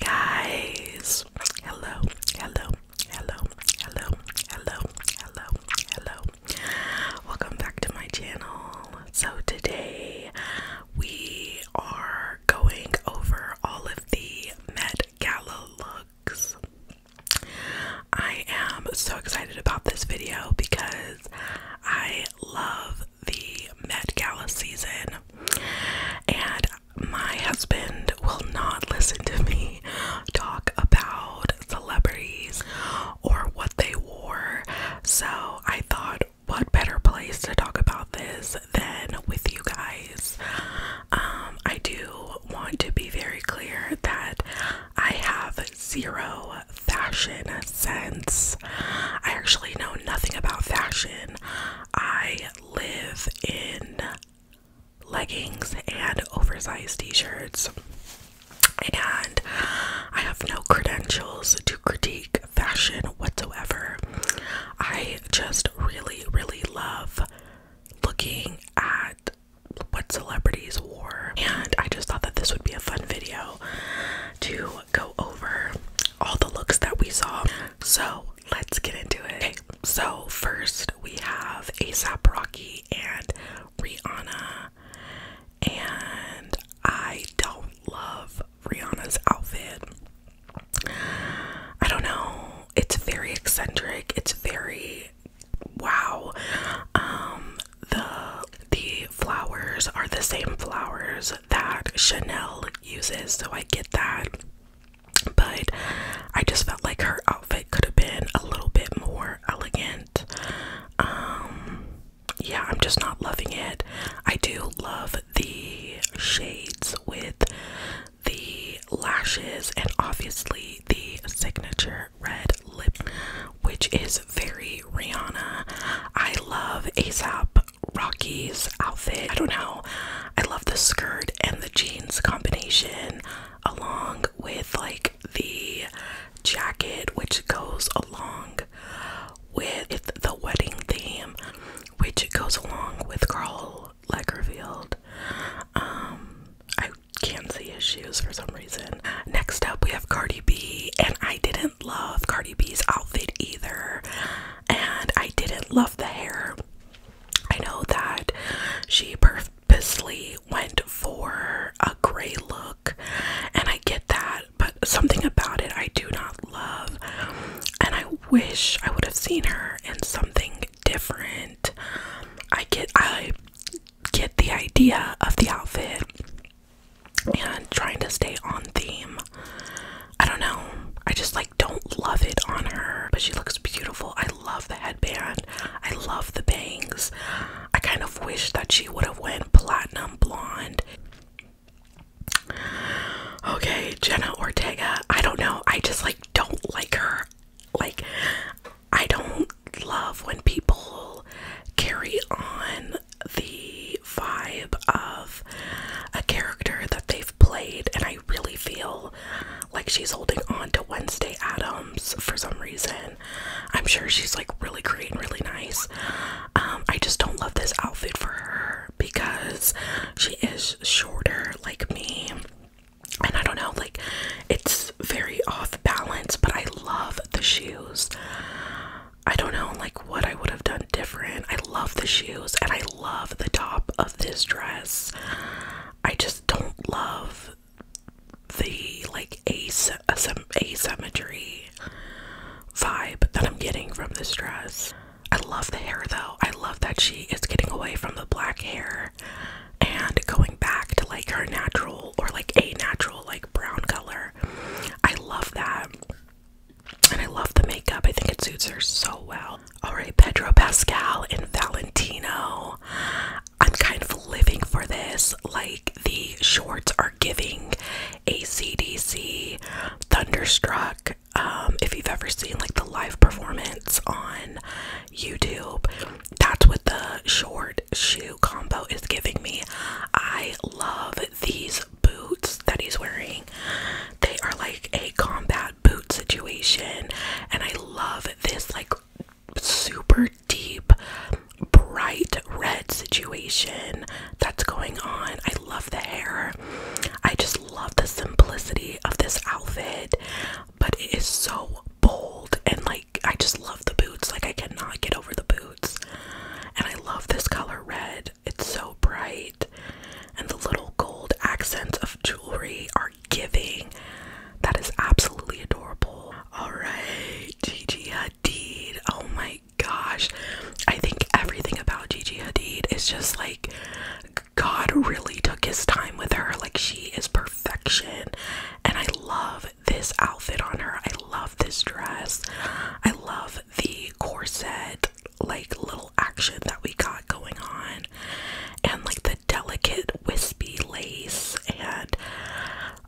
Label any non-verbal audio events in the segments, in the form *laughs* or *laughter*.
Guys, hello, hello, hello, hello, hello, hello, hello. Welcome back to my channel. So, today we are going over all of the Met Gala looks. I am so excited about this video because I love the Met Gala season. And my husband will not listen to me talk about celebrities or what they wore. So I thought, what better place to talk about this than with you guys? Um, I do want to be very clear that I have zero fashion sense. I actually know nothing about fashion. I live in leggings and oversized t shirts. And I have no credentials to critique fashion whatsoever. I just really, really love looking at what celebrities wore. And I just thought that this would be a fun video to go over all the looks that we saw. So let's get into it. Okay, so first we have ASAP Rocky and Rihanna, and I don't love Rihanna's outfit. I don't know. It's very eccentric. It's very wow. Um, the the flowers are the same flowers that Chanel uses, so I get that but I just felt like her outfit could have been a little bit more elegant. Um, yeah, I'm just not loving it. I do love the shades with the lashes and obviously the signature red lip, which is very Rihanna. I love ASAP Rocky's outfit. I don't know. I love the skirt and the jeans combination along with like the jacket which goes along with the wedding theme which goes along with Carl Lagerfeld. Um I can't see his shoes for some reason. Next up we have Cardi B and I didn't love Cardi B's outfit either and I didn't love the hair. I know that she purposely went for a gray look, and I get that, but something about it I do not love. And I wish I would have seen her in something different. I get I get the idea of the outfit and trying to stay on theme. I don't know. I just like don't love it on her, but she looks beautiful. I love the headband. I love the bangs. I kind of wish that she would have went platinum blonde. Okay, Jenna Ortega. I don't know. I just like don't like her. Like I don't love when people carry on the vibe of a character that they have played, and I really feel like she's holding on to Wednesday Adams for some reason. I'm sure she's like really great and really nice. Um, I just don't love this outfit for her because she is shorter like me. And I don't know, like it's very off balance, but I love the shoes. I don't know like what I would have done different. I love the shoes and I love the top of this dress. I just don't love the like asymmetry vibe that I'm getting from this dress. I love the hair though. I love that she is getting away from the black hair and going back to like her natural or like a natural like brown color. I love that. And I love the makeup. I think it suits her so well. All right, Pedro Pascal and Valentino. I'm kind of living for this. Like, the shorts are giving ACDC Thunderstruck. Um, if you've ever seen like the live performance on YouTube, that's what the short shoe combo is giving me. I love these boots that he's wearing, they are like a combat boot situation and I love this like super deep bright red situation that's going on. I love the hair. I just love the simplicity of this outfit, but it is so bold and like I just love the boots. Like I cannot get over the boots. And I love this color red. It's so bright. And the little gold accents of jewelry are giving. That is absolutely adorable. Alright, Gigi Hadid. Oh my gosh. I think everything about Gigi Hadid is just like God really took his time with her. Like she is perfection. And I love this outfit on her. I love this dress. I love the corset like little action that we got going on and like the delicate wispy lace and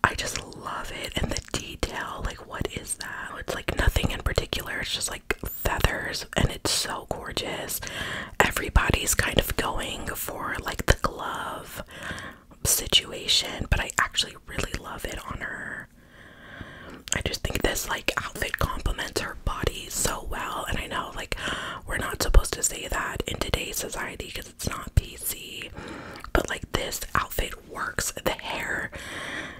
I just love it and the detail like what is that it's like nothing in particular it's just like feathers and it's so gorgeous everybody's kind of going for like the glove situation but I actually really love it on her I just think this like outfit complements her body so well and i know like we're not supposed to say that in today's society because it's not pc but like this outfit works the hair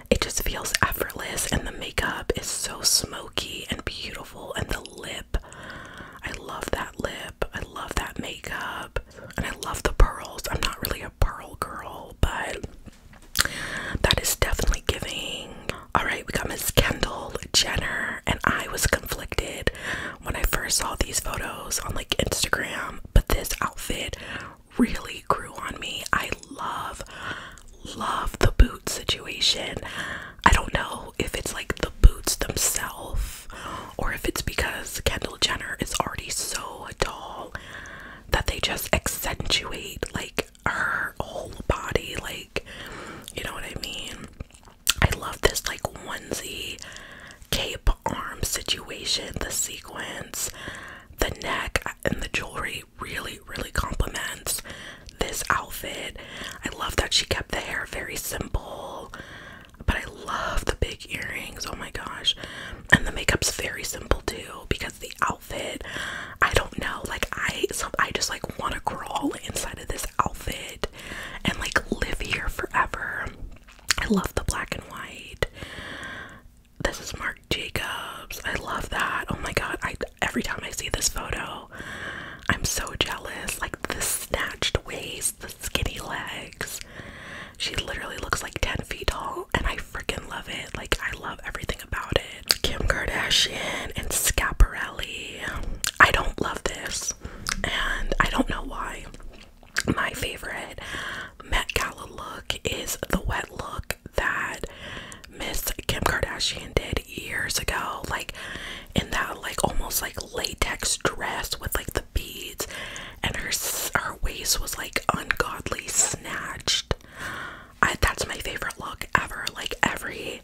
it just feels effortless and the makeup is so smoky and beautiful and the lip i love that lip i love that makeup and i love the pearls i'm not really a pearl girl but that is definitely giving all right, we got Miss Kendall Jenner, and I was conflicted when I first saw these photos on like Instagram, but this outfit really grew on me. I love, love the boot situation. I don't know if it's like the boots themselves or if it's because Kendall Jenner is already so tall that they just accentuate like her whole body, like, you know what I mean? I love this like onesie cape arm situation, the sequins, the neck, uh, and the jewelry really, really complements this outfit. I love that she kept the hair very simple, but I love the big earrings. Oh my gosh. And the makeup's very simple too because the outfit, I don't know, like I so I just like want to crawl inside of this outfit and like live here forever. I love the black and white. This is Marc Jacobs. I love that. Oh my god, I every time I see this photo, I'm so jealous. Like the snatched waist, the skinny legs. She literally looks like 10 feet tall and I freaking love it. Like I love everything about it. Kim Kardashian and Scaparelli. I don't love this. And I don't know why. My favorite Met Gala look is the wet look that Miss Kim Kardashian did years ago. Like in that like almost like latex dress with like the beads and her her waist was like ungodly snatched. I that's my favorite look ever. Like every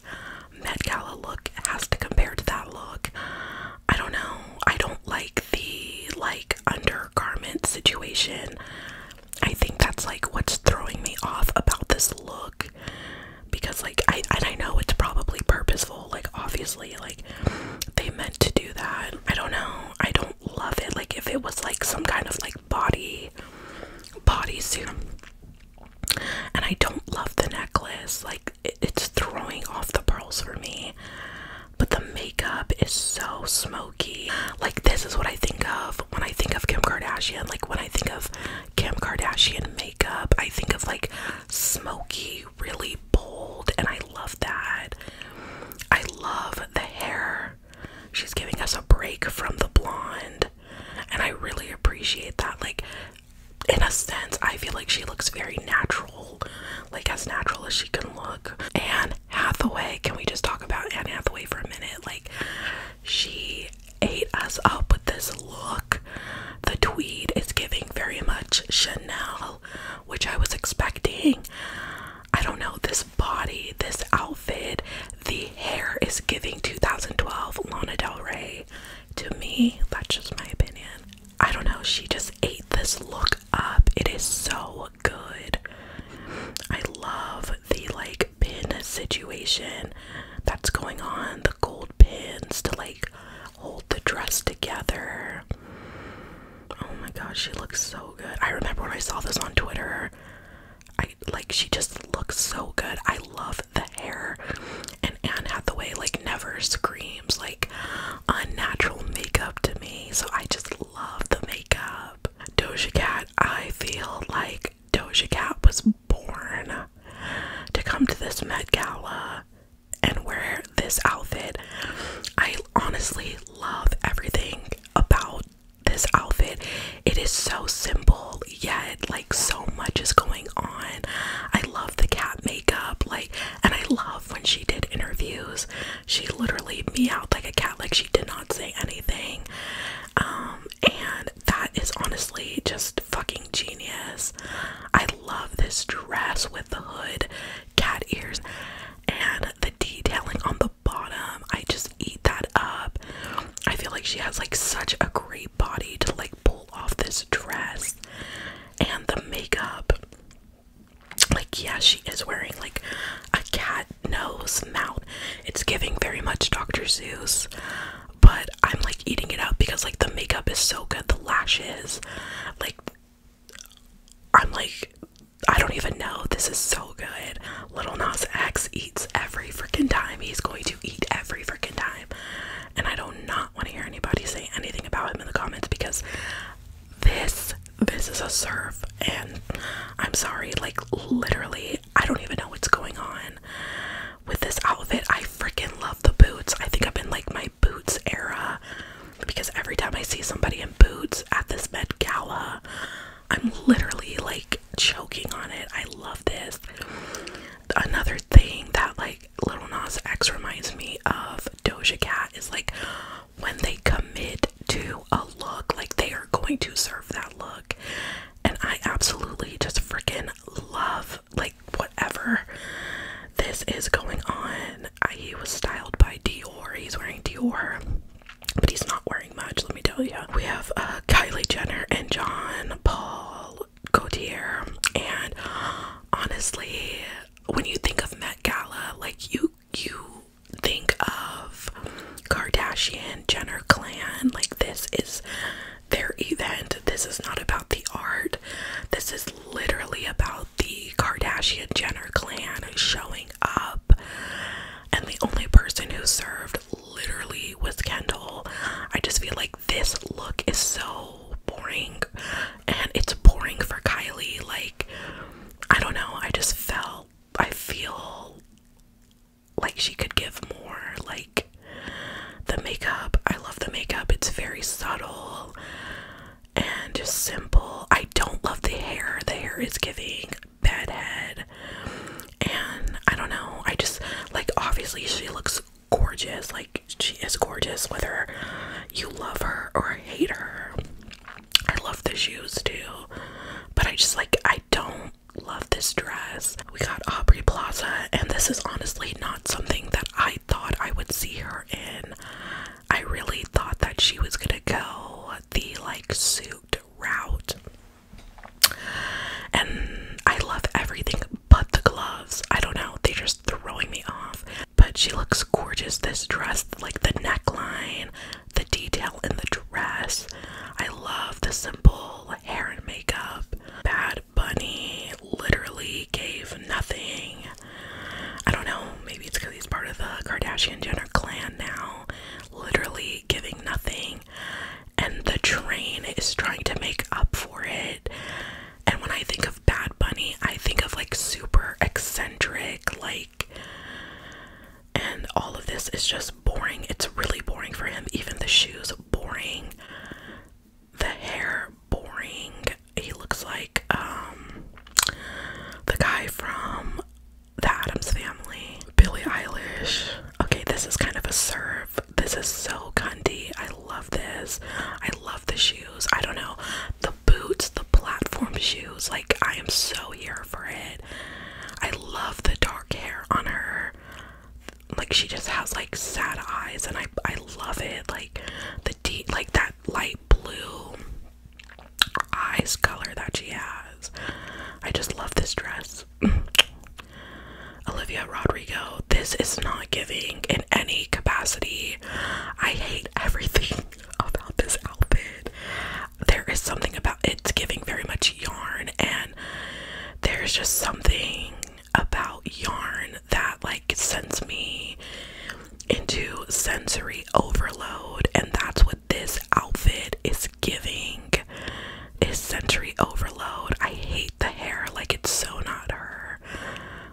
my look has to compare to that look. I don't know. I don't like the like undergarment situation. I think that's like what's throwing me off about this look because like I and I know it's probably purposeful. Like obviously like they meant to do that. I don't know. I don't love it. Like if it was like some kind of like body body suit, and I don't love the necklace. Like it's throwing off the pearls for me. But the makeup is so smoky. Like this is what I think of when I think of Kim Kardashian. Like when I think of Kim Kardashian makeup, I think of like smoky, really bold, and I love that. I love the hair. She's giving us a break from the blonde, and I really appreciate that. Like in a sense, I feel like she looks very natural, like as natural as she can look. Anne Hathaway, can we just talk about Anne Hathaway for a minute? Like, she ate us up with this look. The tweed is giving very much Chanel, which I was expecting. I don't know, this body, this outfit, the hair is giving 2012 Lana Del Rey to me, that's just my opinion. I don't know, she just ate this look up. It is so good. I love the like pin situation that's going on, the gold pins to like hold the dress together. Oh my gosh, she looks so good. I remember when I saw this on Twitter. I like she just looks so good. I love that hair. And Anne Hathaway like never screams like unnatural makeup to me. So I just love the makeup. Doja Cat, I feel like Doja Cat was born to come to this Met Gala and wear this outfit. I honestly love everything about this outfit. It is so simple, yet like so much is going on. I love the cat makeup, like, and I love when she did interviews. She literally meowed like a cat, like she did not say anything. Um, and that is honestly just fucking genius. I love this dress with the hood, cat ears, and the detailing on the bottom. I just eat that up. I feel like she has like such a great body to like pull off this dress and the makeup. Like, yeah, she is wearing like a cat nose mouth. It's giving very much Dr. Seuss, but I'm like eating it up because like the makeup is so good, the lashes, like I'm like, I don't even know. This is so good. Little Nas X eats every freaking time. He's going to eat every freaking time. And I do not know not want to hear anybody say anything about him in the comments because this this is a surf, and I'm sorry like literally I don't even know what's going on with this outfit. I freaking love the boots. I think i have been like my boots era because every time I see somebody in boots at this Met Gala, I'm literally like choking on it. I love this. Another thing that like Little Nas X reminds me of Doja Cat is like when they commit to a look, like they are going to serve that look. And I absolutely just freaking love like whatever this is going on. I, he was styled by Dior. He's wearing Dior, but he's not wearing much. Let me tell you. We have uh, Kylie Jenner and John Paul Gaultier. And honestly, when you think of Met Gala, like you you think of Kardashian Jenner clan. Like this is their event. This is not about the art. This is literally about the Kardashian Jenner clan showing up. And the only person who served literally was Kendall. I just feel like this look is so boring and it's boring for Kylie like I don't know I just felt I feel like she could give more like the makeup I love the makeup it's very subtle and just simple I don't love the hair the hair is giving bad head and I don't know I just like obviously she looks gorgeous. Like she is gorgeous, whether you love her or hate her. I love the shoes too, but I just like I don't love this dress. We got Aubrey Plaza, and this is honestly not something that I thought I would see her in. I really thought that she was gonna go the like suit route. And I love everything but the gloves. I don't know, they're just throwing me off. But she looks gorgeous. This dress, like the neckline, the detail in the dress. I love the simple hair and makeup. Bad Bunny literally gave nothing. I don't know, maybe it's because he's part of the Kardashian Jenner clan now. Literally giving nothing. And the train is trying to make up for it. And when I think of Bad Bunny, I think of like super eccentric, like, and all of this is just boring. It's really boring for him. Even the shoes, boring. The hair, boring. He looks like um, the guy from The Adams Family. Billy Eilish. Okay, this is kind of a serve. This is so Gundy. I love this. I love the shoes. I don't know. The boots, the platform shoes. Like, I am so here for it. I love the dark hair on her. Like, she just has like sad eyes, and I, I love it. Like, the deep, like that light blue eyes color that she has. I just love this dress. *clears throat* Olivia Rodrigo, this is not giving in any capacity I hate everything *laughs* about this outfit. There is something about it giving very much yarn and there's just something about yarn that like sends me into sensory overload and that's what this outfit is giving is sensory overload. I hate the hair like it's so not her.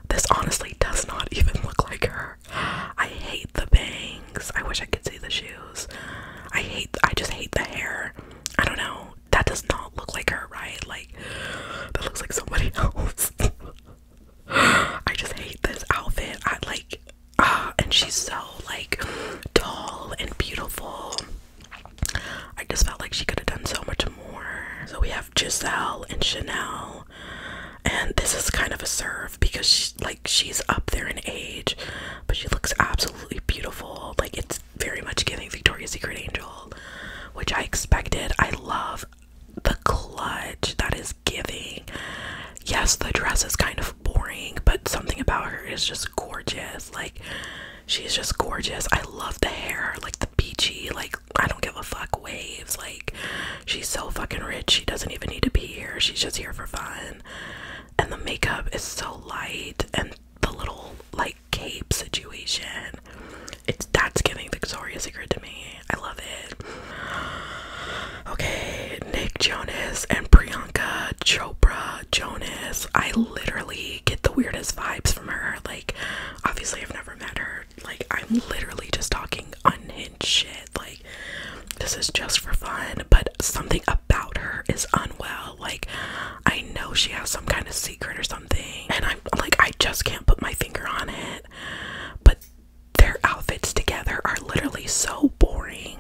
This honestly does not even look like her. I hate the bangs. I wish I could see the shoes. I hate I just hate the hair. I don't know. That does not look like her, right? Like that looks like somebody *laughs* else. I just hate this outfit. I like Ah, and she's so like tall and beautiful. I just felt like she could have done so much more. So we have Giselle and Chanel and this is kind of a serve because she, like she's up there in age, but she looks absolutely beautiful. Like it's very much giving Victoria's Secret Angel, which I expected. I love the clutch that is giving. Yes, the dress is kind of boring, but something about her is just gorgeous. Like she's just gorgeous. I love the hair, like the peachy, like I don't give a fuck waves. Like she's so fucking rich. She doesn't even need to be here. She's just here for fun. And the makeup is so light and the little like cape situation. It's that's giving Victoria's Secret to me. I love it. Okay, Nick Jonas and Priyanka Chopra Jonas. I literally get the weirdest vibes from her. Like, obviously, I've never met her. Like, I'm literally just talking unhinged shit. Like, this is just for fun, but something about her is unwell. Like, I know she has some kind of secret or something, and I'm like, I just can't put my finger on it. But their outfits together are literally so boring.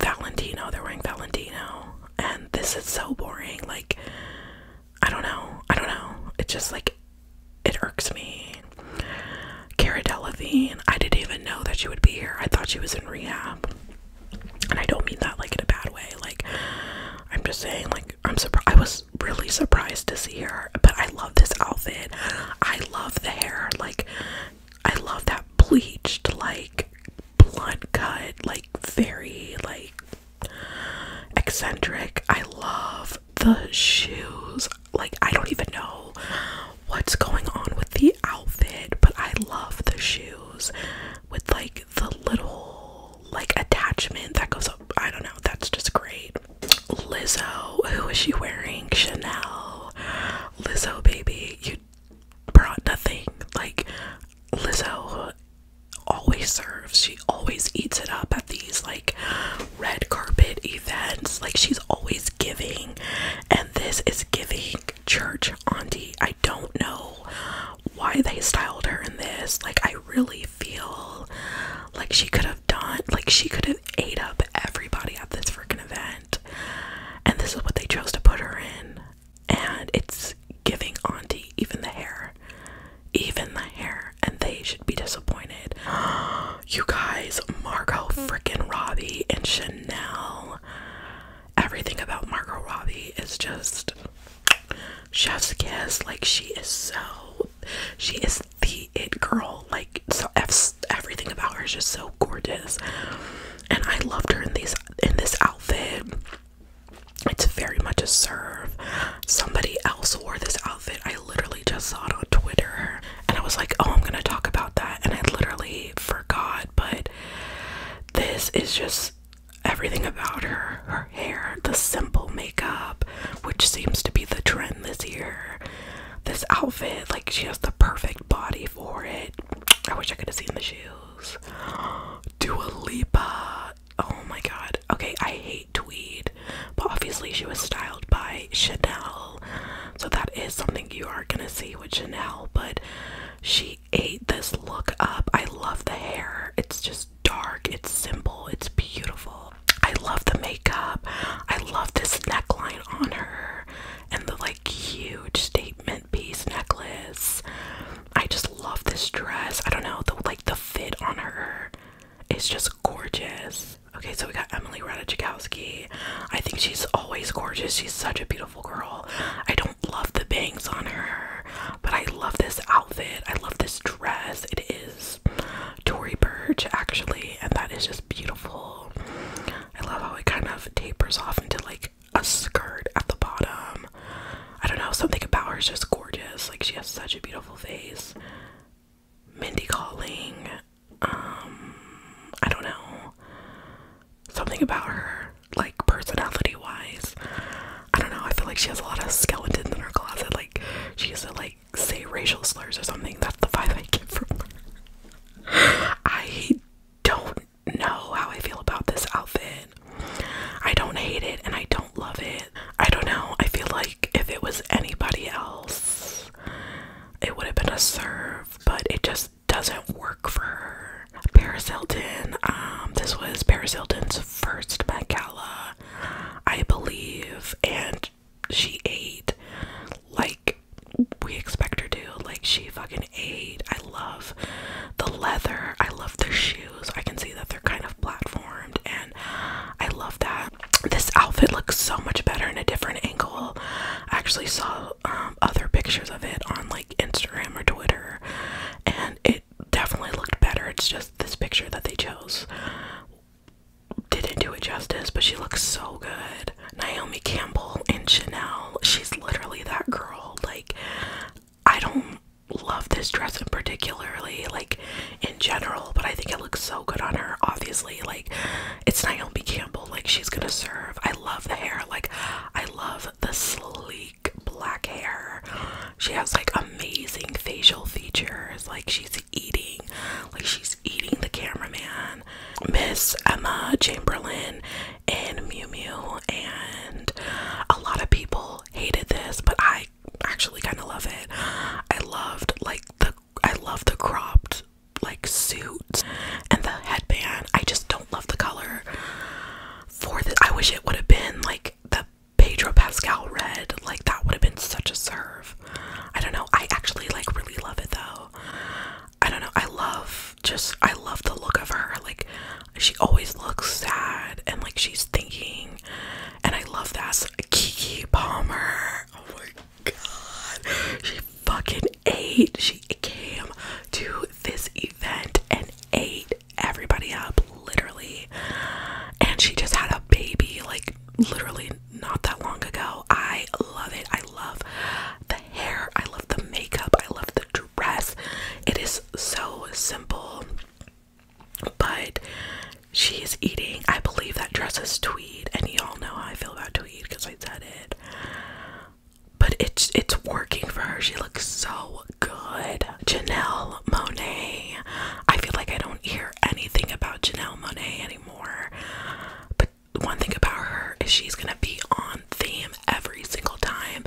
Valentino, they're wearing Valentino, and this is so boring. Like, I don't know. I don't know. It just like it irks me. Cara Delevingne, I didn't even know that she would be here. I thought she was in rehab. And I don't mean that like in a bad way. Like I'm just saying like I'm surprised I was really surprised to see her, but I love this outfit. I love the hair. Like I love that bleached like blunt cut, like very like eccentric. I love the shoes. Like, I don't even know what's going on with the outfit, but I love the shoes with like the little like attachment that goes up. I don't know, that's just great. Lizzo, who is she wearing? Chanel. Lizzo, baby, you brought nothing. Like, Lizzo always serves always eats it up at these like red carpet events. Like she's always giving, and this is giving church auntie. I don't know why they styled her in this. Like I really feel like she could have done like she could have ate up everybody at this freaking event. And this is what they chose to put her in. And it's giving auntie even the hair even the hair, and they should be disappointed. *gasps* you guys, Margot freaking Robbie and Chanel. Everything about Margot Robbie is just chef's kiss. Like, she is so, she is the it girl. Like, so everything about her is just so gorgeous. And I loved her in these in this outfit. It's very much a serve. Somebody else wore this outfit outfit. I literally just saw it on Twitter and I was like, oh, I'm gonna talk about that. And I literally forgot, but this is just everything about her her hair, the simple makeup, which seems to be the trend this year. This outfit, like, she has the perfect body for it. I wish I could have seen the shoes. *gasps* Dua Lipa. Oh my god. Okay, I hate tweed, but obviously she was styled by Chanel, so that is something you are gonna see with Chanel. But she ate this look up. I love the hair, it's just dark, it's simple, it's beautiful. I love the makeup, I love this neckline on her, and the like huge statement piece necklace. I just love this dress. I don't know, the like the fit on her is just gorgeous. Okay, so we got Emily Ratajkowski. I think she's always gorgeous. She's such a beautiful girl. I don't love the bangs on her, but I love this outfit. I love this dress. It is Tory Burch actually, and that is just beautiful. I love how it kind of tapers off into like a skirt at the bottom. I don't know, something about her is just gorgeous. Like she has such a beautiful face. Mindy calling. Um, I don't know. Something about her, like personality wise. I don't know. I feel like she has a lot of skeletons in her closet. Like she used to like say racial slurs or something. That's the vibe I get from her. I don't know how I feel about this outfit. I don't hate it and I don't love it. I don't know. I feel like if it was anybody else, it would have been a serve, but it just doesn't work for Paris Hilton, um, this was Paris Hilton's first Met Gala, I believe, and she ate like we expect her to. Like, she fucking ate. I love the leather, I love the shoes. I can see that they're kind of platformed, I love that. This outfit looks so much better in a different angle. I actually saw um, other pictures of it on like Instagram or Twitter, and it definitely looked better. It's just this picture that they chose didn't do it justice, but she looks so good. Naomi Campbell and Chanel, she's literally that girl. Like, I don't love this dress in particularly. Like, in general, but I think it looks so good on her. Obviously, like it's Naomi Campbell, like she's gonna serve. I love the hair, like I love the sleek black hair. She has like amazing facial features, like she's eating, like she's eating the cameraman. Miss Emma Chamberlain and Mew Mew, and a lot of people hated this, but I actually kind of love it. I loved like the I love the cropped like suit and the headband. I just don't love the color for this. I wish it would have been like the Pedro Pascal red. Like that would have been such a serve. I don't know. I actually like really love it though. I don't know. I love just I love the look of her. Like she always looks sad and like she's thinking and I love that. So, Kiki Palmer. Oh god. She fucking ate. She came to this event and ate everybody up, literally. And she just had a baby, like literally not that long ago. I love it. I love the hair. I love the makeup. I love the dress. It is so simple, but she is eating, I believe that dress is tweed, and y'all know how I feel about tweed because I said it. But it's it's working for her. She looks so good. Janelle Monet. I feel like I don't hear anything about Janelle Monet anymore. But one thing about her is she's gonna be on theme every single time.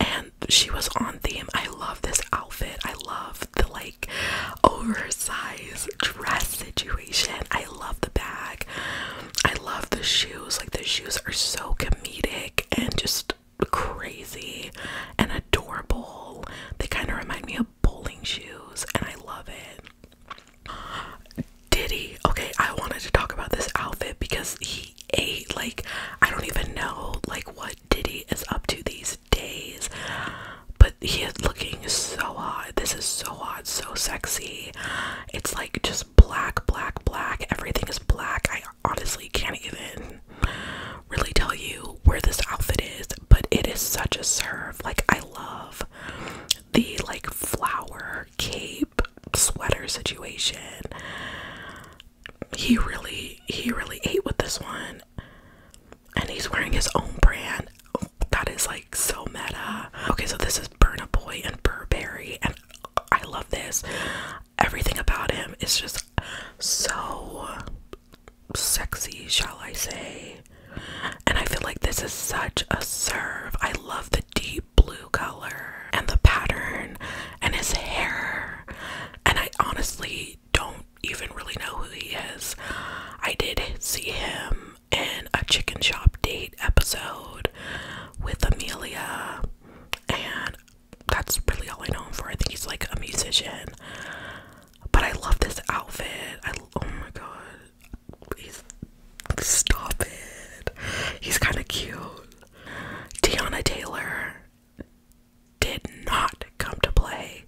And she was on theme. I love this outfit. I love the like oversized dress situation. I love the bag. I love the shoes. Like the shoes are so comedic and just crazy and adorable. They kind of remind me of bowling shoes and I love it. Diddy. Okay, I wanted to talk about this outfit because he ate like I don't even know like what Diddy is up to these days but he is looking so hot. This is so hot, so sexy. It's like just black, black, black. Everything is black. I honestly can't even really tell you where this outfit is, but it is such a serve. Like I love the like flower cape sweater situation. He really he really ate with this one and he's wearing his own brand. That is like so meta. Okay, so this is Burna Boy and Burberry, and I love this. Everything about him is just so sexy, shall I say? And I feel like this is such a serve. I love the deep blue color and the pattern and his hair. And I honestly don't even really know who he is. I did see him and a chicken shop date episode with Amelia and that's really all I know him for. I think he's like a musician. But I love this outfit. I oh my god. He's stop it. He's kind of cute. Deanna Taylor did not come to play.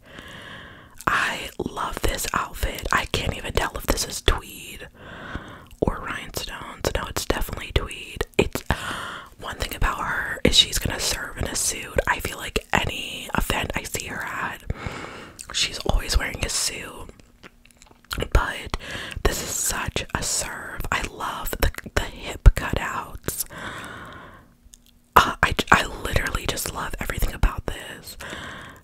I love this outfit. I can't even tell if this is tweed or rhinestones. No, it's definitely tweed. It's one thing about her is she's gonna serve in a suit. I feel like any event I see her at, she's always wearing a suit. But this is such a serve. I love the the hip cutouts. Uh, I I literally just love everything about this,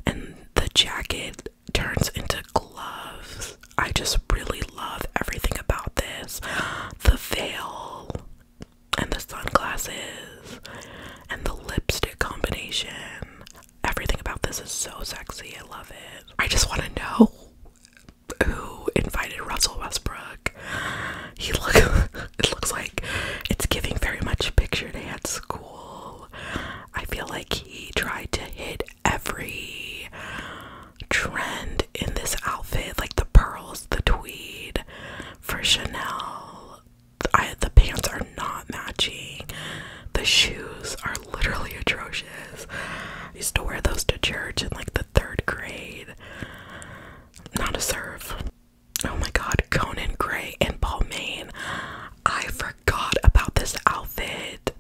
and the jacket turns into gloves. I just really love everything about this. The veil and the sunglasses and the lipstick combination. Everything about this is so sexy. I love it. I just want to know who invited Russell Westbrook. He look *laughs* it looks like it's giving very much picture dance school. I feel like he tried to hit every trend in this outfit, like the pearls, the tweed for Chanel. the pants are not matching. The shoes are literally atrocious. I used to wear those to church in like the third grade. Not a serve. Oh my god, Conan Gray and Balmain. I forgot about this outfit.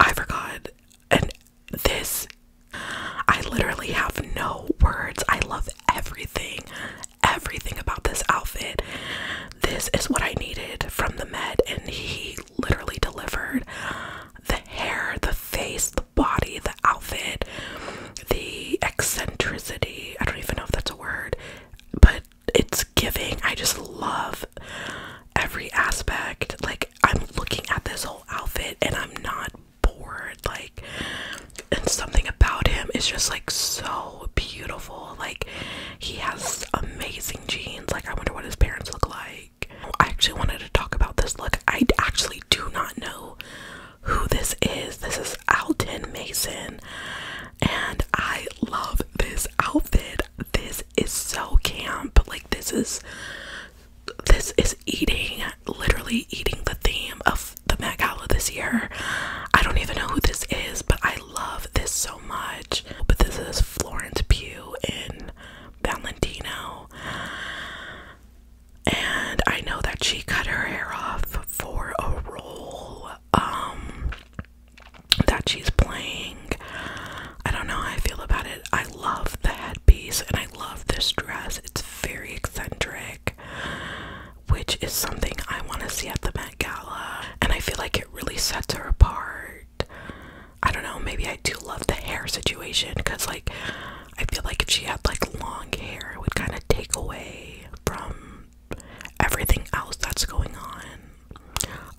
I forgot. And this, I literally have no words. I love everything, everything about this outfit. This is what I needed from the med, and he literally delivered the hair, the face, the body, the outfit, the eccentricity. I don't even know if that's a word, but it's giving. I just love every aspect. Like I'm looking at this whole outfit and I'm not bored. Like and something about him is just like so beautiful. Like he has amazing jeans. Like I wonder what his parents look like. I actually wanted to talk about this look. I actually do not know who this is. This is Alton Mason and I love this outfit. This is so camp. Like this is this is eating literally eating the theme of the Met Gala this year. I don't even know who this is, but I love this so much. But this is Florence Pugh in Valentino. And I know that she cut her hair off for a role. Um that she's playing. I don't know how I feel about it. I love the headpiece and I love this dress. It's very eccentric, which is something I want to see at the Met Gala. And I feel like it really sets her apart. I don't know, maybe I do love the hair situation because, like, I feel like if she had like long hair, it would kind of take away from everything else that's going on.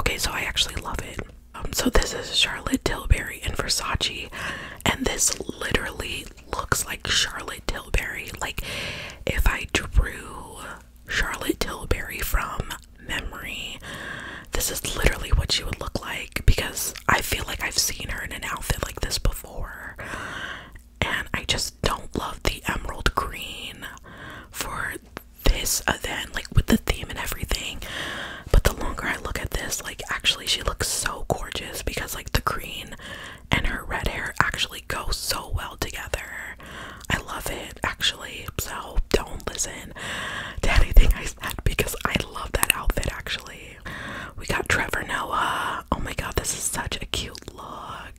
Okay, so I actually love it. Um, so this is Charlotte Tilbury in Versace, and this literally looks like Charlotte Tilbury. Like if I drew Charlotte Tilbury from memory, this is literally what she would look like because I feel like I've seen her in an outfit like this before. And I just don't love the emerald green for this uh, like with the theme and everything but the longer i look at this like actually she looks so gorgeous because like the green and her red hair actually go so well together i love it actually so don't listen to anything i said because i love that outfit actually we got trevor noah oh my god this is such a cute look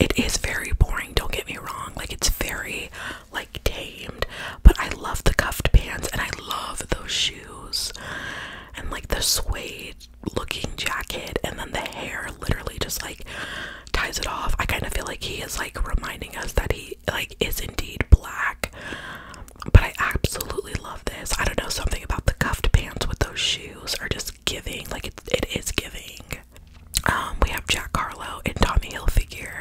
it is very boring, don't get me wrong. Like it's very like tamed, but I love the cuffed pants and I love those shoes and like the suede looking jacket and then the hair literally just like ties it off. I kind of feel like he is like reminding us that he like is indeed black. But I absolutely love this. I don't know something about the cuffed pants with those shoes are just giving like it, it is giving um, we have Jack Carlo and Tommy Hilfiger.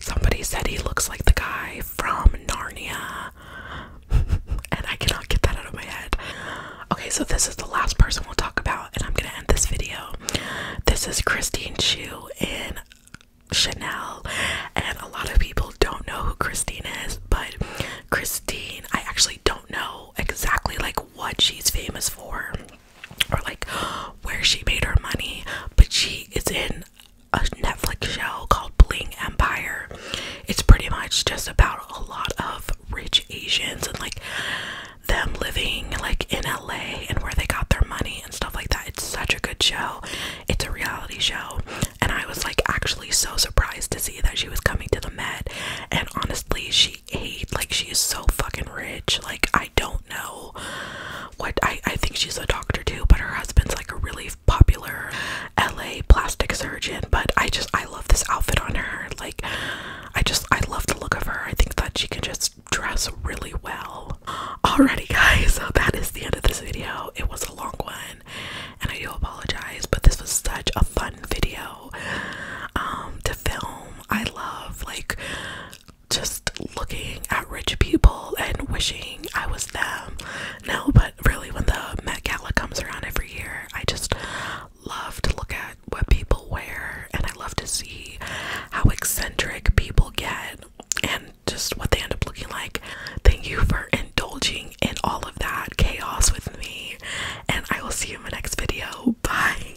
Somebody said he looks like the guy from Narnia. *laughs* and I cannot get that out of my head. Okay, so this is the last person we'll talk about, and I'm gonna end this video. This is Christine Chu in Chanel, and a lot of people don't know who Christine is, but Christine, I actually don't know exactly like what she's famous for or like where she made her money, but she is in a Netflix show called Bling Empire. It's pretty much just about a lot of rich Asians and like them living like in LA and where they got their money and stuff like that. It's such a good show. It's a reality show. And I was like actually so surprised to see that she was coming to the Met. And honestly, she Hate Like she is so fucking rich. Like I don't know what I I think she's a doctor too, but her husband's like a really popular LA plastic surgeon. But I just I love this outfit on her. Like I just I love the look of her. I think that she can just dress really well. Alrighty guys, so that is the end of this video. It was a long one and I do apologize, but this was such a fun video um to film. I love like just looking at rich people and wishing I was them. No, but really, when the Met Gala comes around every year, I just love to look at what people wear and I love to see how eccentric people get and just what they end up looking like. Thank you for indulging in all of that chaos with me, and I will see you in my next video. Bye.